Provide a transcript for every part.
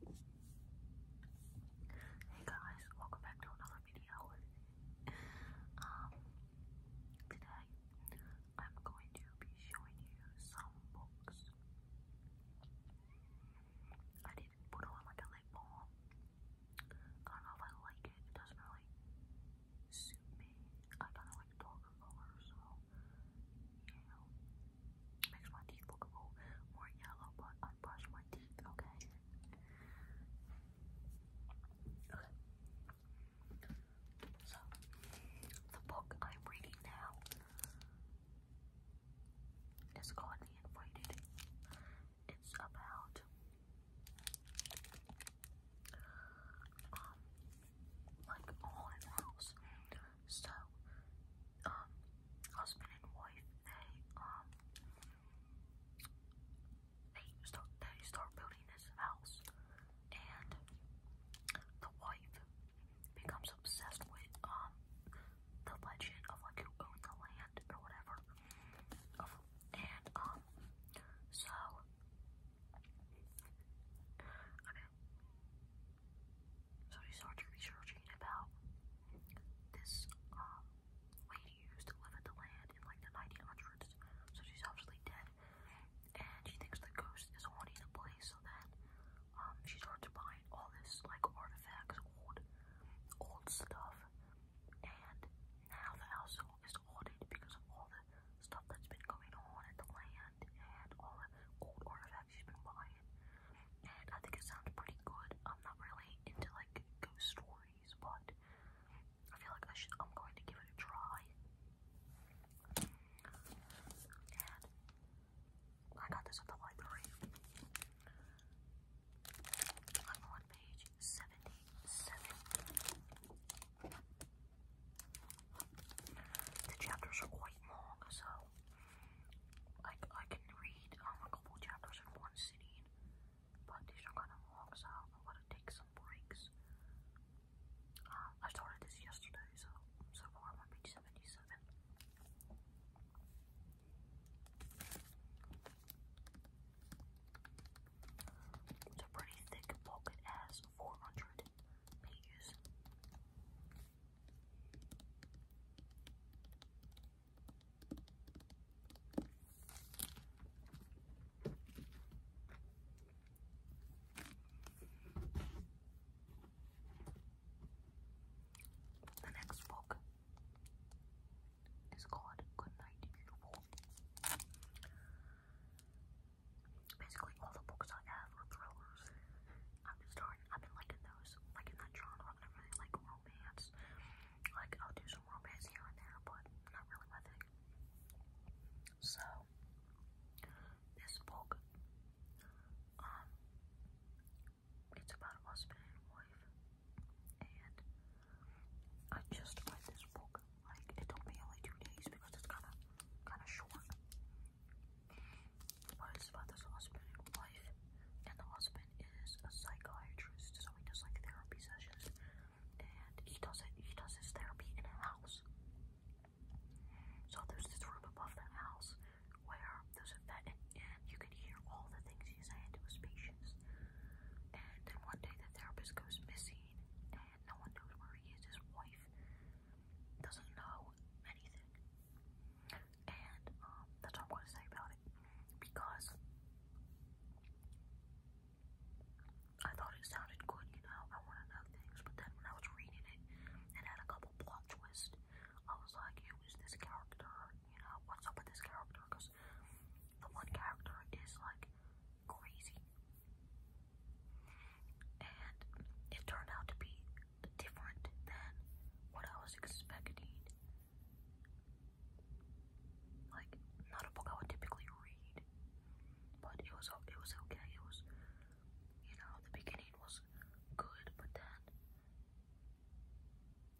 Hey guys, welcome back to another video. Um, today I'm going to be showing you some books. I did put on like a lip I don't know if I like it. It doesn't really suit me. I kind of like darker colors, so you know. Makes my teeth look a more yellow, but I brush my teeth, okay? So, the book I'm reading now is called The Invited. It's about um like a so, um, husband and wife, they, um, they start, they start building this house, and the wife becomes obsessed with, um, the legend of, like, who owned the land, or whatever, and, um, so, okay, so he starts researching about this um, lady who used to live at the land in like the 1900s. So she's obviously dead. And she thinks the ghost is haunting the place. So then um, she starts buying all this like artifacts, old, old stuff. And now the house is haunted because of all the stuff that's been going on at the land and all the old artifacts she's been buying. I think it sounds pretty good. I'm not really into like ghost stories, but I feel like I should. I'm going to give it a try. I got this at the library. I'm on page seventy-seven. The chapters are quite long, so like I can read um, a couple chapters in one sitting, but these are kind of long, so I'm gonna take some breaks. Uh, I started this yesterday, so so far I'm on page seventy-seven. It's a pretty thick book. It has four hundred pages. The next book is called Good Night Beautiful. Basically all the books I have are thrillers. I'm just not I've been liking those, like that genre. I really like romance. Like I'll do some romance here and there, but not really my thing. So this book, um, it's about husband and wife, and I just read this book. Like it took me only two days because it's kind of kind of short. His father's husband and wife, and the husband is a psychiatrist, so he does like therapy sessions, and he does it. He does his therapy in a house. So there's this room above the house where there's a vet, and, and you can hear all the things he's saying to his patients. And then one day the therapist goes missing, and no one knows where he is. His wife doesn't know anything and um, that's all I'm going to say about it because I thought it sounded good, you know. I want to know things, but then when I was reading it and had a couple plot twists, I was like, who is this character? You know, what's up with this character? Because the one character is like crazy, and it turned out to be different than what I was expecting. Like not a book I would typically read, but it was it was okay. It was you know the beginning was good, but then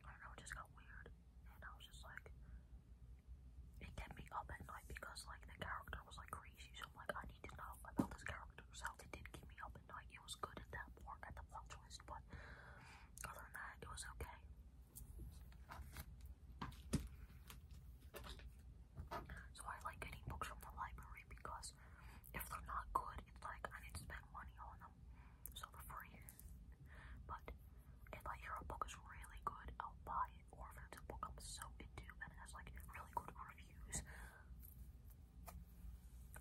I don't know it just got weird, and I was just like it kept me up at night because like the character was like crazy. So I'm like I need to know about this character. So it did keep me up up and like it was good at that part at the plot twist, but other than that, it was okay. So I like getting books from the library because if they're not good, it's like I need to spend money on them, so they're free. But if I hear a book is really good, I'll buy it. Or if it's a book I'm so into and it has like really good reviews,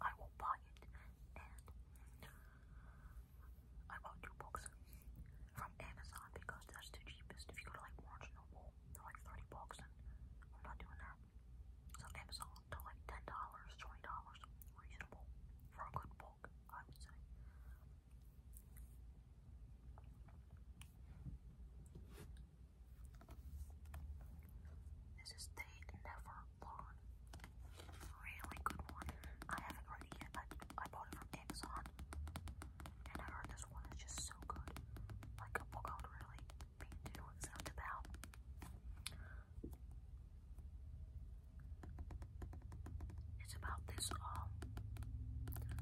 I will buy it and I bought two books from Amazon because that's the cheapest. If you go to like Barnes and Noble, they're like 30 bucks and I'm not doing that. So Amazon, they're like $10, $20, reasonable for a good book, I would say. This is the Never Lawn. Really good one. I haven't read it yet. I, I bought it from Amazon. And I heard this one is just so good. Like a oh really be doing about. It's about this um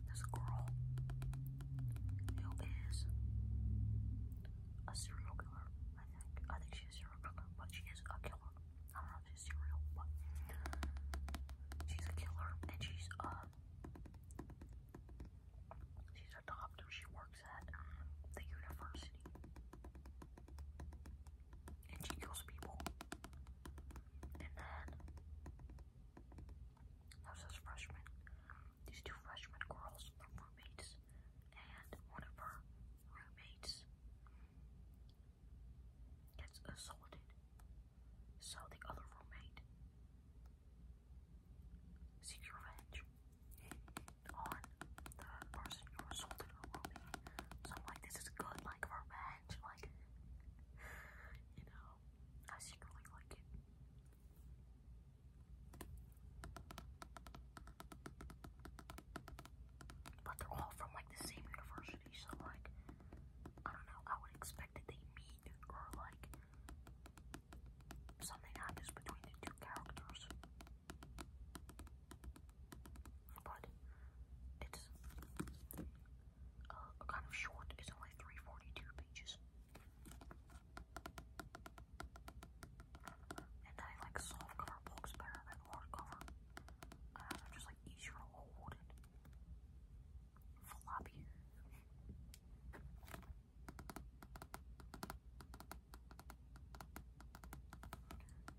this girl who is a serial killer. I think. she's a serial killer, but she is a killer. I don't know if she's serial, but she's a killer and she's uh she's a She works at um, the university. And she kills people. And then there's this freshman these two freshman girls are roommates, and one of her roommates gets assaulted. So the other roommate seeks revenge on the person who assaulted her roommate. So I'm like, this is good, like revenge, like you know, I secretly like it. But they're all from like the same university, so like I don't know, I would expect that they meet or like something happens between the two characters. But it's uh, kind of short, it's only 342 pages. And I like soft cover books better than hardcover. Uh, just like easier to hold and floppy.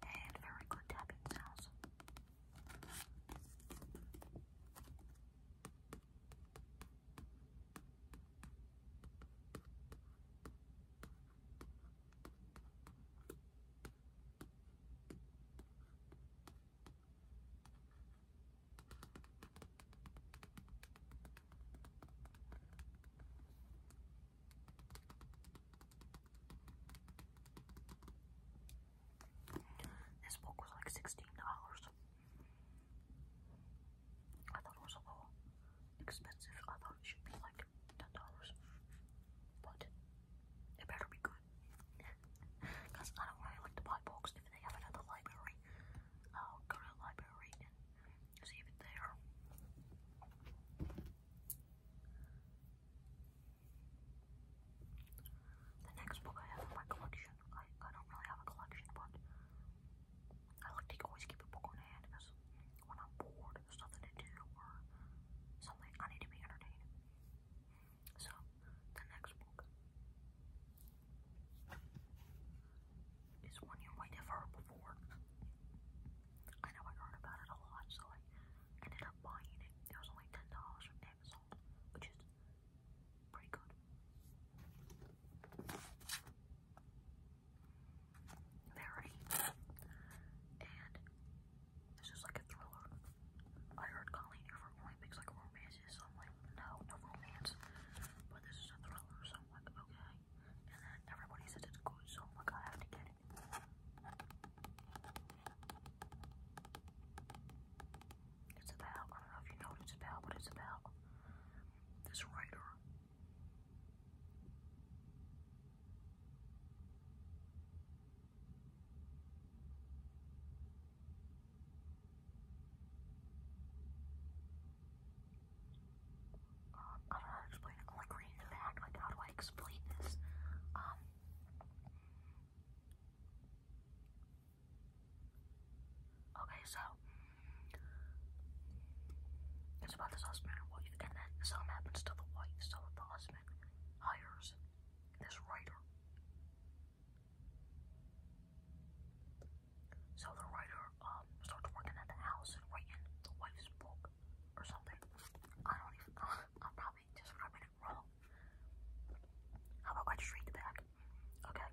And very good tapping sounds. This book was like sixteen dollars. I thought it was a little expensive. I thought it should be like ten dollars, but it better be good. Cause I don't really like to buy books if they have it at the library. I'll go to the library and see if it's there. The next book I have in my collection, I, I don't really have a collection, but I like to always keep a book on hand because when I'm bored, there's nothing to do or something, I need to be entertained. So, the next book is one you might have heard before. I know I heard about it a lot, so I ended up buying it. It was only $10 from Amazon, which is pretty good. They and this is like a thriller. I heard Colleen here from only picks like romances, so I'm like, no, no romance. But this is a thriller, so I'm like, okay. And then everybody says it's good, so I'm like, I have to get it. It's about, I don't know if you know what it's about, but it's about this writer um, I don't explain it. like reading like how do I explain this? Um Okay, so it's about this husband and then something happens to the wife, so the husband hires this writer. So the writer um starts working at the house and writing the wife's book or something. I don't even. I'm probably describing it wrong. How about I just read the back? Okay.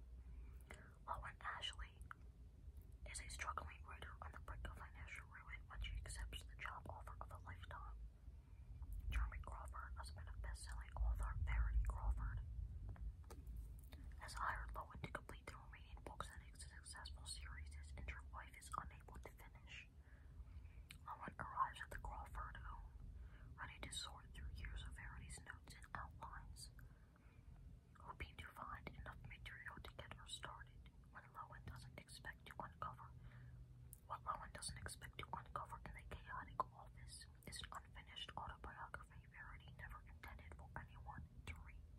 Lauren Ashley is a struggling writer on the brink of financial ruin when she accepts the job offer of a lifetime. Jeremy Crawford, husband of best-selling author Verity Crawford, has hired Lowen to complete the remaining books in a successful series his injured wife is unable to finish. Lowen arrives at the Crawford home, ready to sort through years of Verity's notes and outlines hoping to find enough material to get her started. When Lowen doesn't expect to uncover, what Lowen doesn't expect to uncover in the chaotic office is an unfinished autobiography Verity never intended for anyone to read.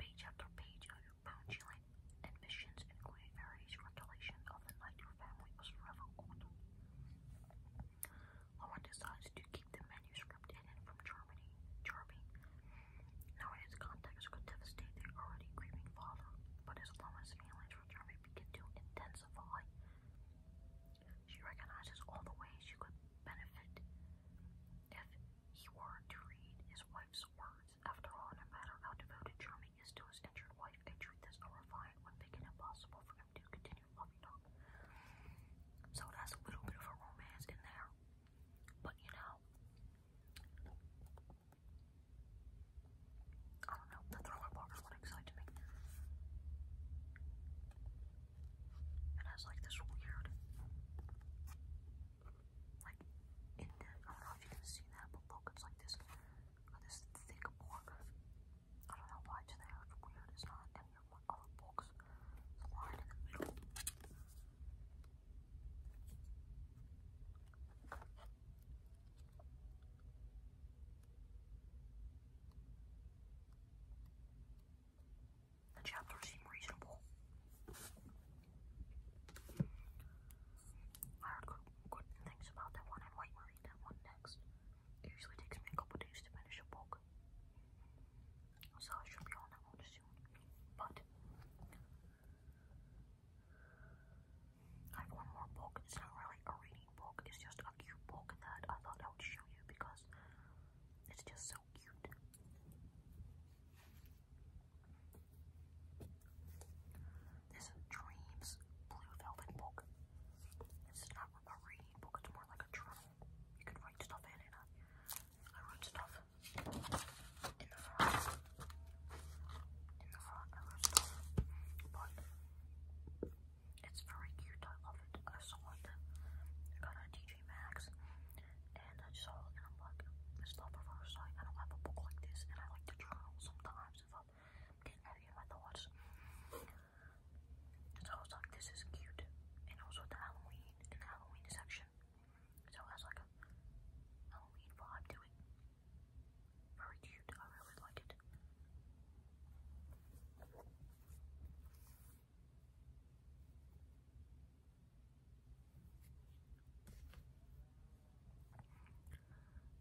Page after page of bone chilling and missions, including of the night family was forever Owen decides to keep the manuscript hidden from Germany, Knowing its contents could devastate their already grieving father, but his Loma's feelings for Germany begin to intensify. She recognizes all the ways she could benefit if he were to read his wife's words. After all, no matter how devoted Jeremy is to his injured wife, a truth is horrifying would make it impossible for him to continue so that's a little bit of a romance in there. But you know, I don't know, the thriller box one excites me. It has like this weird, like, in the, I don't know if you can see that, but look, it's like this, this thick board. I don't know why it's there, it's weird, it's not and then my reasonable. I heard good, things about that one. I might read that one next. It usually takes me a couple days to finish a book so I should be on that one soon. But I have one more book. It's not really a reading book. It's just a cute book that I thought I would show you because it's just so cute. This is Dreams Blue Velvet book. It's not a reading book. It's more like a journal I can write stuff in it. I wrote stuff in the front. In the front, I wrote stuff. But it's very cute. I love it. I saw it. I got it TJ Maxx. And I saw it and I'm like, I do a book like this. And I like to journal sometimes if I'm getting ready in my thoughts. So I like, this is cute. And also the Halloween in Halloween section. So it has like a Halloween vibe to it. Very cute. I really like it.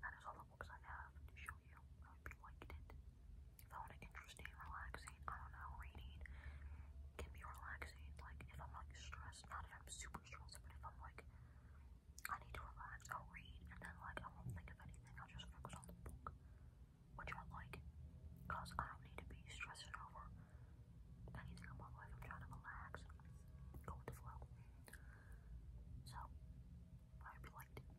That is all the books I have to show you. I hope you liked it found it interesting, relaxing. I don't know, reading can be relaxing. Like if I'm like stressed, not if I'm super stressed, but if I'm like I need to relax, i read and then like I won't think of anything. I'll just focus on the book, which I like, cause I don't need to be stressing over anything in my life. I'm trying to relax go with the So I hope you liked it.